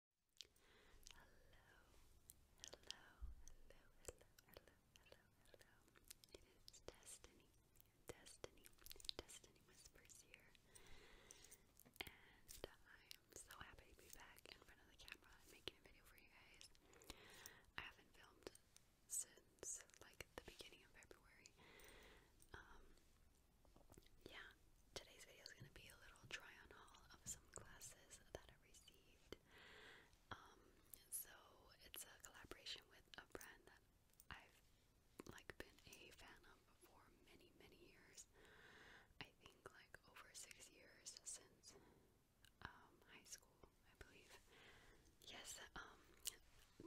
hello, hello, hello, hello, hello. It is Destiny, Destiny, Destiny Whispers here. And I am so happy to be back in front of the camera and making a video for you guys. I haven't filmed since like the beginning of February. Um, yeah, Today's video is going to be a little try on haul of some glasses that I received. Um, so it's a collaboration with a brand that I've like been a fan of for many many years. I think like over six years since um, high school, I believe. Yes, um,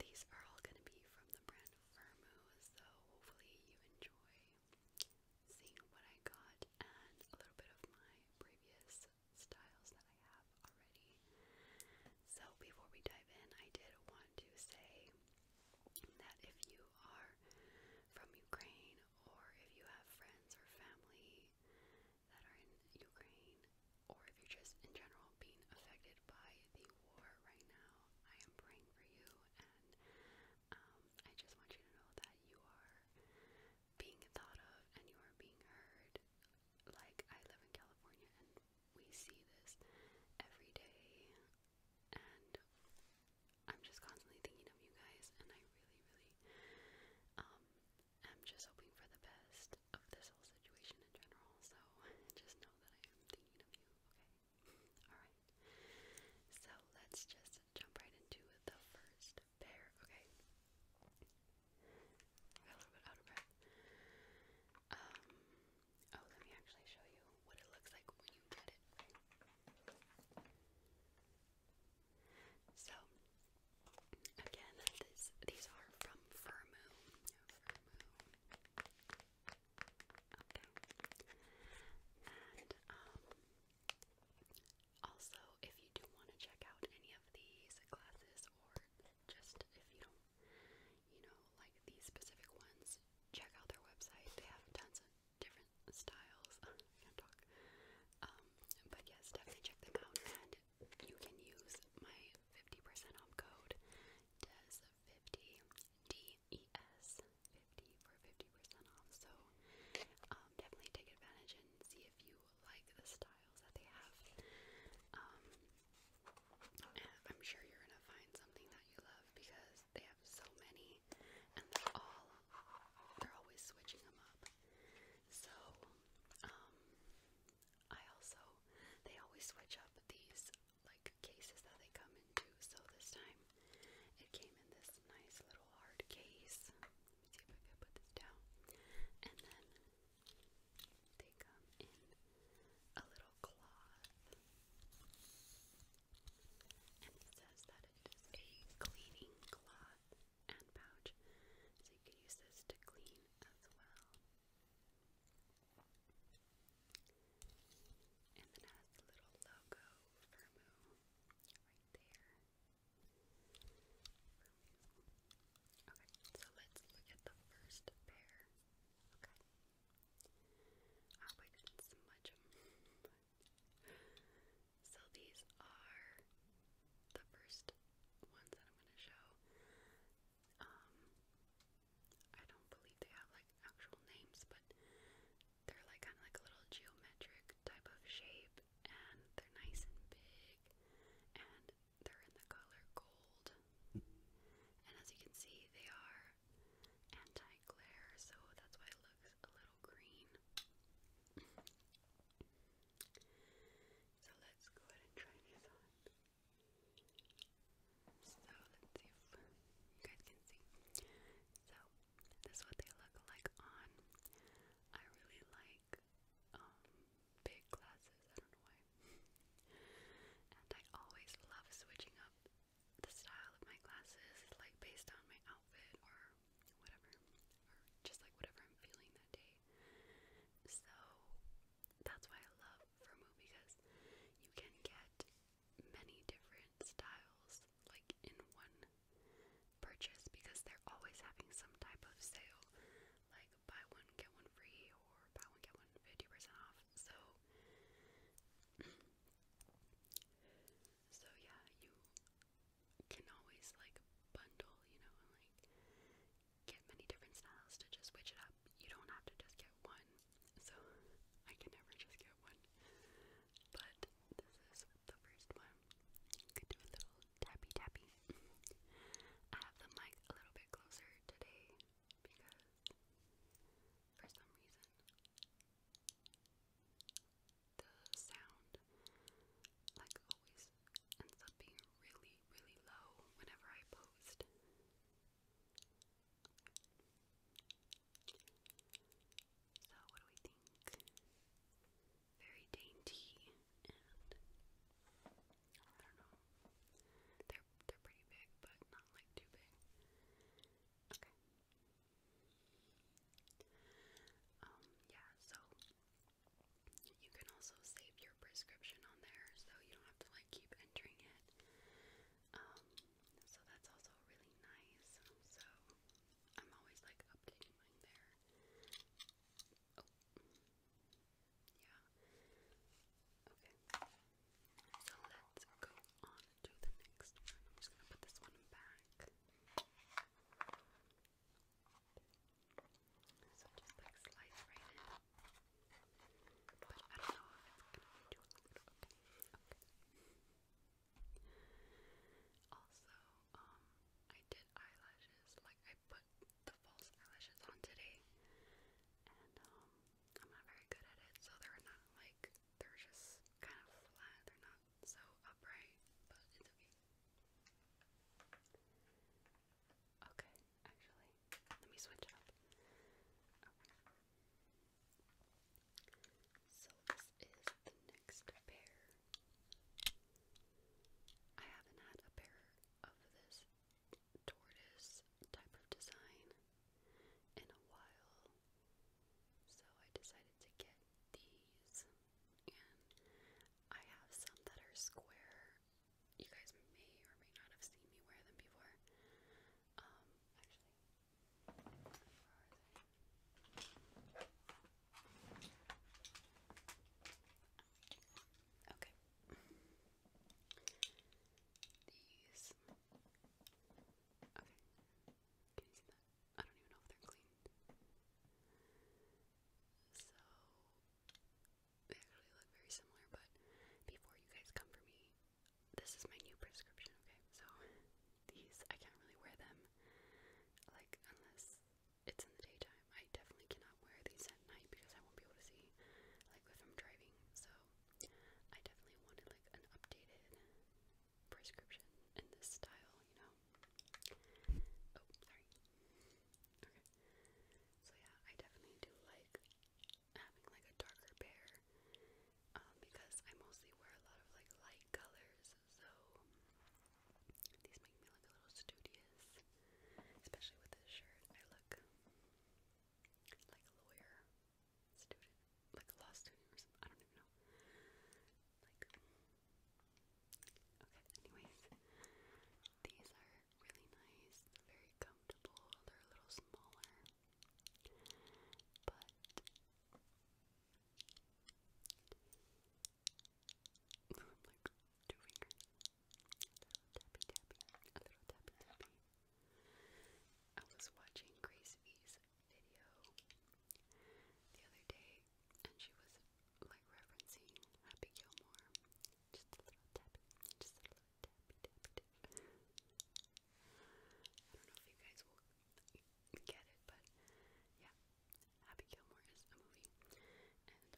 these are all gonna be from the brand Firmu, so hopefully you enjoy seeing what I got and a little bit of my previous styles that I have already. So before we dive in, I did want to say that if you are from Ukraine or if you have friends or family that are in Ukraine or if you're just in general being affected by the war right now, I am praying for you and um, I just want you to know that you are being thought of and you are being heard. Like, I live in California and we see this every day, and I'm just constantly thinking of you guys, and I really, really um, am just hoping for the best of this whole situation in general. So, just know that I am thinking of you, okay? Alright. So, let's just jump right into the first pair. Okay. I got a little bit out of breath. Um, oh, let me actually show you what it looks like when you get it. So, again, these are from Firmoo. Okay. And, um, also, if you do want to check out any of these classes or just if you don't, you know, like these specific ones, check out their website. They have tons of different styles. can't talk. Um, but yes, definitely check them out and you can use my 50% off code DES50 D E S 50 for 50% off. So um, definitely take advantage and see if you like the styles that they have. Um, I'm sure you're gonna find something that you love because they have so many, and they're all they're always switching them up. So um, I also they always switch up these like cases that they come into. So this time it came in this nice little hard case. see if I can put this down. And then they come in a little cloth. And it says that it is a cleaning cloth and pouch. So you can use this to clean as well. And then has the little logo for Moo. Okay, so let's look at the first pair. Okay. Oh, I didn't smudge them. So these are the first ones that I'm gonna show. Um, I don't believe they have like actual names, but they're like kind of like a little geometric type of shape, and they're nice and big, and they're in the color gold. And as you can see, they are anti-glare, so that's why it looks a little green. so let's go ahead and try these on. So let's see if you guys can see. So this is what they look like on. I really like um, big glasses. I don't know why. and I always love switching up the style of my glasses, like based on my outfit or whatever, or just like whatever I'm feeling that day. So that's why I love Vermouth because you can get many different styles like in one purchase because they're always having some type of sale, like buy one, get one free, or buy one, get one 50% off. So, so yeah, you can always like bundle, you know, and like get many different styles to just switch it up. You don't have to just get one. So, I can never just get one. But this is the first one. Could do a little tappy tappy. I have the mic a little bit closer today because for some reason the sound like always ends up being really, really low whenever I post. So, what do we think? Very dainty, and I don't know. They're they're pretty big, but not like too big. Okay. Um. Yeah. So you can also save your prescription on there, so you don't have to like keep entering it. Um. So that's also really nice. So I'm always like updating there. Oh. Yeah. Okay. So let's go on to the next one. I'm just gonna put this one back. So just like slice right in. But I don't know if it's gonna be too Also, um, I did eyelashes, like I put the false eyelashes on today, and um, I'm not very good at it, so they're not like, they're just kind of flat, they're not so upright, but it's okay. Okay, actually, let me switch up. So this is the next pair. I haven't had a pair of this tortoise type of design in a while. So I decided to get these and I have some that are square. You guys may or may not have seen me wear them before. Um, actually Okay. These. Okay. Can you see that? I don't even know if they're clean. So they actually look very similar, but before you guys come for me, this is my new prescription, okay? So these. I can't really wear them, like, unless it's in the daytime. I definitely cannot wear these at night because I won't be able to see, like, if I'm driving. So, I definitely wanted, like, an updated prescription in this style, you know? Oh, sorry. Okay. So, yeah, I definitely do like having, like, a darker pair. Um, because I mostly wear a lot of like light colors so these make me look a little studious, especially with this shirt. I look like a lawyer student, like a law student I don't even know. okay, anyways, these are really nice, very comfortable, they're a little smaller, but like two fingers. A little tappy tappy. I was watching Grace video the other day and she was like referencing Happy Gilmore. Just a little tappy. Just a little tappy tappy tappy. I don't know if you guys will get it, but yeah, Happy Gilmore is a movie, and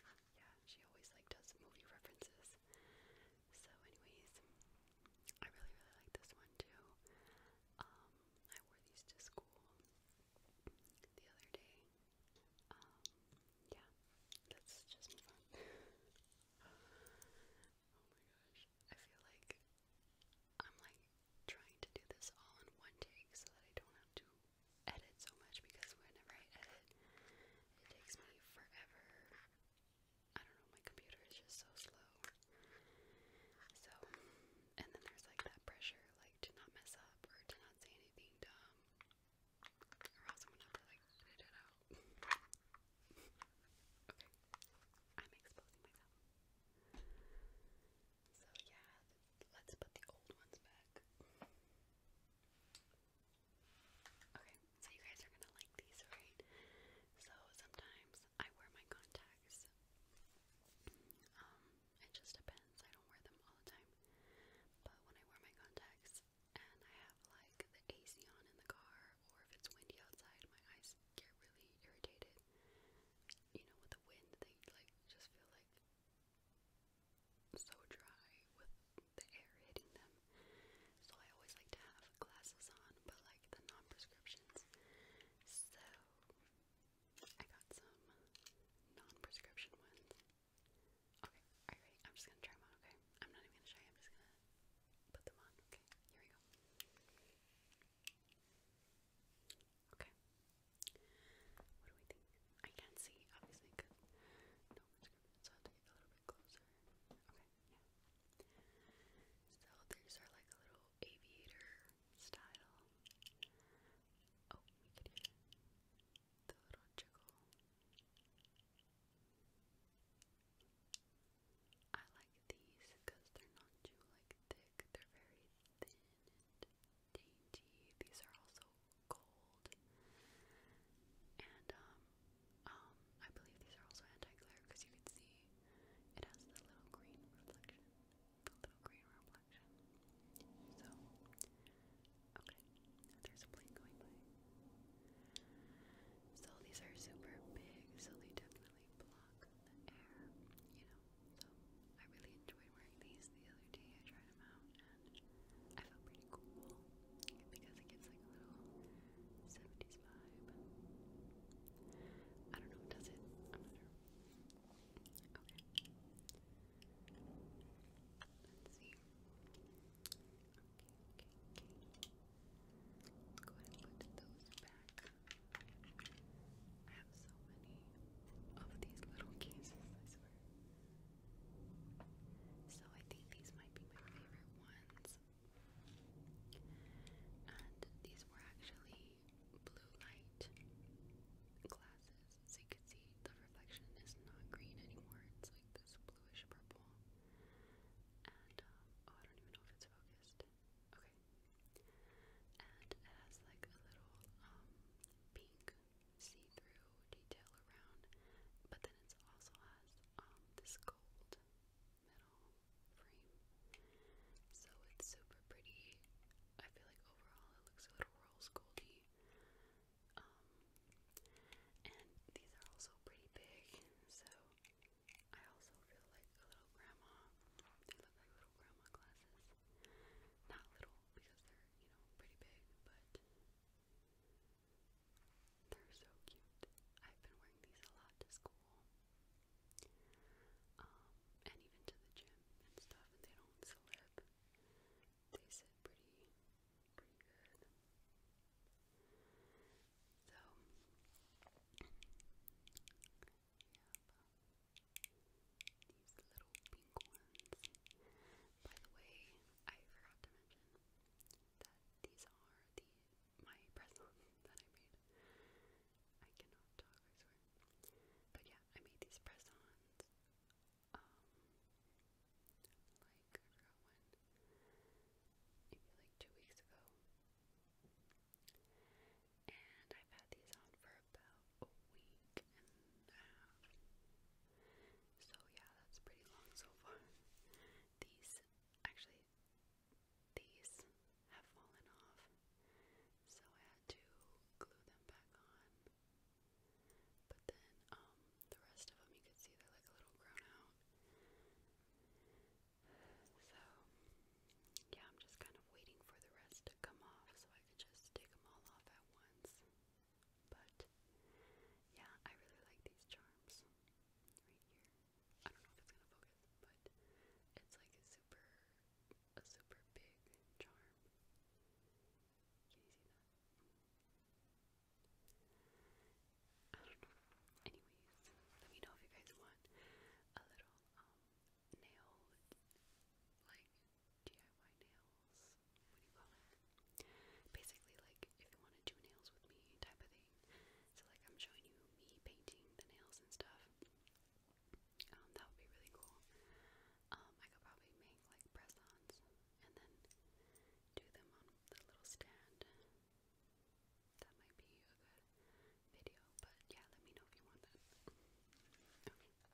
um, yeah, she always like does movie references. So, anyways, I really really like this one too. Um, I wore these to school the other day. Um, yeah, let's just move on. oh my gosh, I feel like I'm like trying to do this all in one take so that I don't have to edit so much because whenever I edit, it takes me forever. I don't know, my computer is just so slow. So, and then there's like that pressure like to not mess up or to not say anything dumb, or else i to like edit it out. okay, I'm exposing myself. So yeah, let's put the old ones back. Okay, so you guys are gonna like these, right? So sometimes I wear my contacts. Um, it just depends. I don't wear them all the time. But when I wear my contacts and I have like the AC on in the car or if it's windy outside, my eyes get really irritated you know, with the wind, they like just feel like so dry with the air hitting them. So I always like to have glasses on, but like the non-prescriptions. So I got some non-prescription ones. Okay, alright, I'm just gonna try them on, okay? I'm not even gonna try, I'm just gonna put them on, okay? Here we go. Okay. What do we think? I can't see, obviously, because no one's going so I have to get a little bit closer. Okay, yeah. So these are like a little aviator style. Oh, the little jiggle. I like these because they're not too like thick they're very thin and dainty. These are also gold. And um um I believe these are also anti-glare because you can see it has the little green reflection. The little green reflection. So okay. There's a plane going by. So these are super big, so they definitely block the air, you know know. So I really enjoyed wearing these the other day. I tried them out and I felt pretty cool because it gives like a little 70s vibe. I don't know, does it? I'm not sure. Okay. Let's see. Okay, okay, okay. Go ahead and put those back. I have so many of these little cases, I swear. So I think these might be my favorite ones. And these were actually blue light glasses. So you can see the reflection is not green anymore. It's like this bluish purple. And um, oh, I don't even know if it's focused. Okay. And it has like a little um pink see-through detail around, but then it also has um this gold metal frame. So it's super pretty. I feel like overall it looks a little rose goldy. Um and these are also pretty big, so I also feel like a little grandma. They look like little grandma glasses. Not little because they're, you know, pretty big, but they're so cute. I've been wearing these a lot to school. Um, and even to the gym and stuff, and they don't slip. They sit pretty pretty good. So have these little pink ones. By the way, I forgot to mention that these are the my presents that I made. I cannot talk, I swear. But yeah, I made these press Um, like I forgot when. Maybe like two weeks ago. And I've had these on for about a week and a half. So yeah, that's pretty long so far. These, actually, these have fallen off. So I had to glue them back on. But then, um, the rest of them you can see they're like a little grown out. So yeah, I'm just kind of waiting for the rest to come off so I can just take them all off at once. But yeah, I really like these charms right here. I don't know if it's gonna focus, but it's like a super, a super big charm. Can you see that? I don't know. Anyways, let me know if you guys want a little um nail, like DIY nails, what do you call it? Basically, like if you want to do nails with me type of thing. So, like, I'm showing you me painting the nails and stuff. Um, that would be really cool. Um, I could probably make like press ons and then do them on the little stand. That might be a good video, but yeah, let me know if you want that.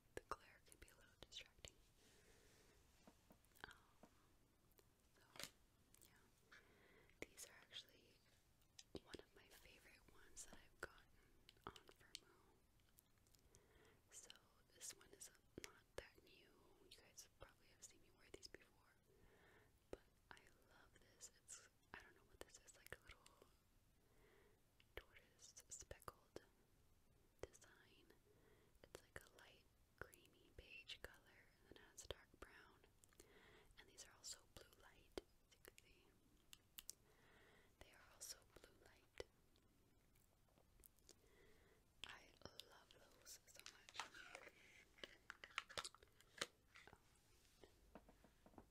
the glare can be a little distracting. Um, so, yeah. These are actually one of my favorite ones that I've gotten on Vermo. So, this one is not that new. You guys probably have seen me wear these before. But I love this. It's, I don't know what this is, like a little tortoise speckled design. It's like a light creamy beige color and then has dark brown. And these are also blue light, you see. They are also blue light. I love those so much.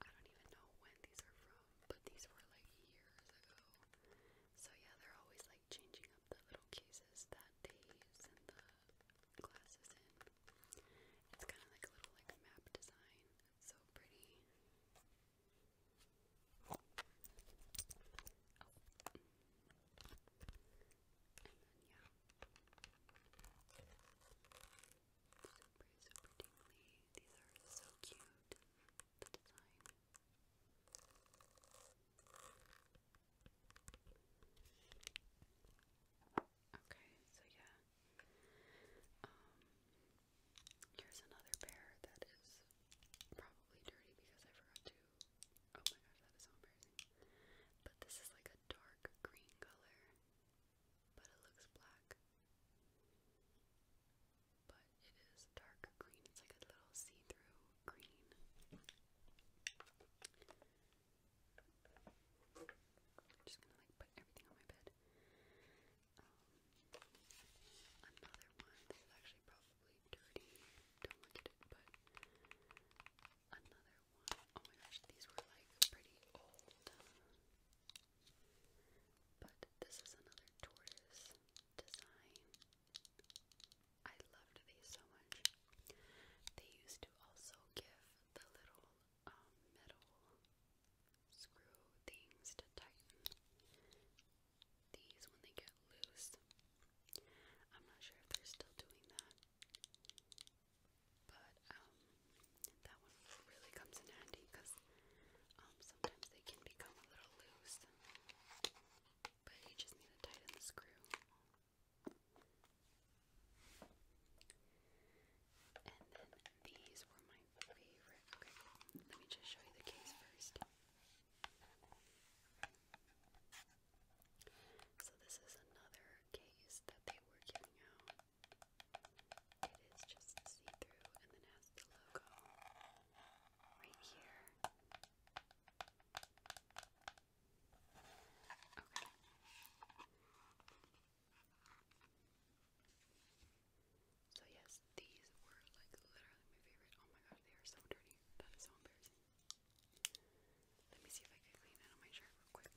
I don't even know when these are from, but these were like years ago. So yeah, they're always like changing up the little cases that they use and the glasses in. It's kind of like a little like map design. so pretty. Oh. And then yeah. Super, super tingly. These are so cute, the design. Okay, so yeah. Um, here's another pair that is probably dirty because I forgot to. Oh my gosh, that is so embarrassing. But this is like a dark green color but it looks black. But it is dark green. It's like a little see-through green. I'm just gonna like put everything on my bed. Um, another one. This actually probably dirty. Don't look at it, but another one. Oh my gosh, these were like pretty old. But this is another tortoise design. I loved these so much. They used to also give the little um, metal screw things to tighten these when they get loose. I'm not sure if they're still doing that. But um, that one really comes in handy because um, sometimes they can become a little loose. But you just need to tighten the screw. And then these were my favorite. let me just show you the case first. So, this is another case that they were giving out. It is just see-through and then has the logo right here. Okay. So yes, these were like literally my favorite. Oh my gosh, they are so dirty. That is so embarrassing. Let me see if I can clean it my shirt real quick.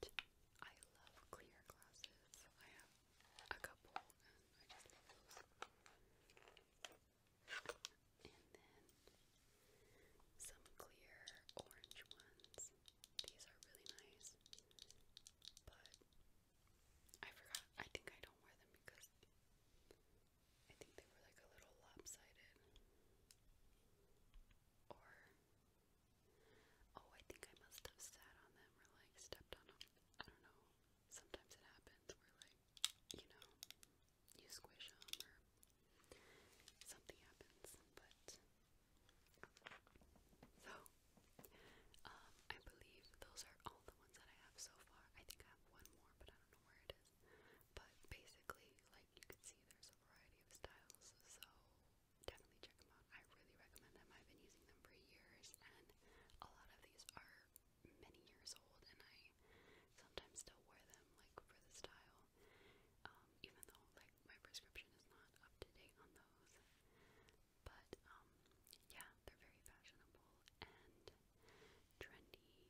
but I love clear glasses. I have a couple and I just love those. And then some clear orange ones. These are really nice, but I forgot. I think I don't wear them because I think they were like a little lopsided. Or Oh, I think I must have sat on them or like stepped on them. I don't know. Sometimes it happens where like, you know, you squish them or something happens. But so, um, I believe those are all the ones that I have so far. I think I have one more, but I don't know where it is. But basically, like you can see, there's a variety of styles. So definitely check them out. I really recommend them. I've been using them for years, and a lot of these are many years old, and I sometimes still wear them like for the style, um, even though like my prescription is not up to date on those. But um, yeah, they're very fashionable and trendy, so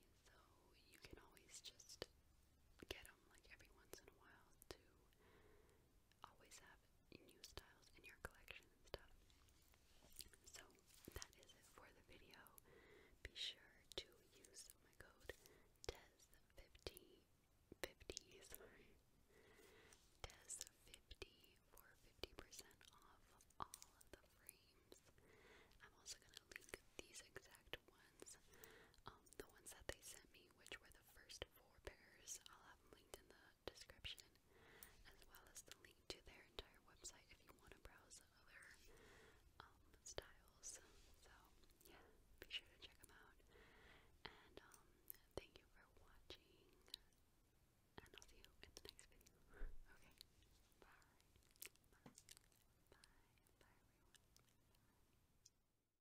you can always just get them like every once in a while to always have new styles in your collection and stuff. So that is it for the video. Be sure to use my code TES50 TES50 for 50% off all of the frames. I'm also gonna link these exact ones, um, the ones that they sent me, which were first four pairs. I'll have them linked in the description, as well as the link to their entire website if you want to browse other um, styles. So, yeah, be sure to check them out. And um, thank you for watching, and I'll see you in the next video. okay, bye. Bye, bye, bye everyone. Bye.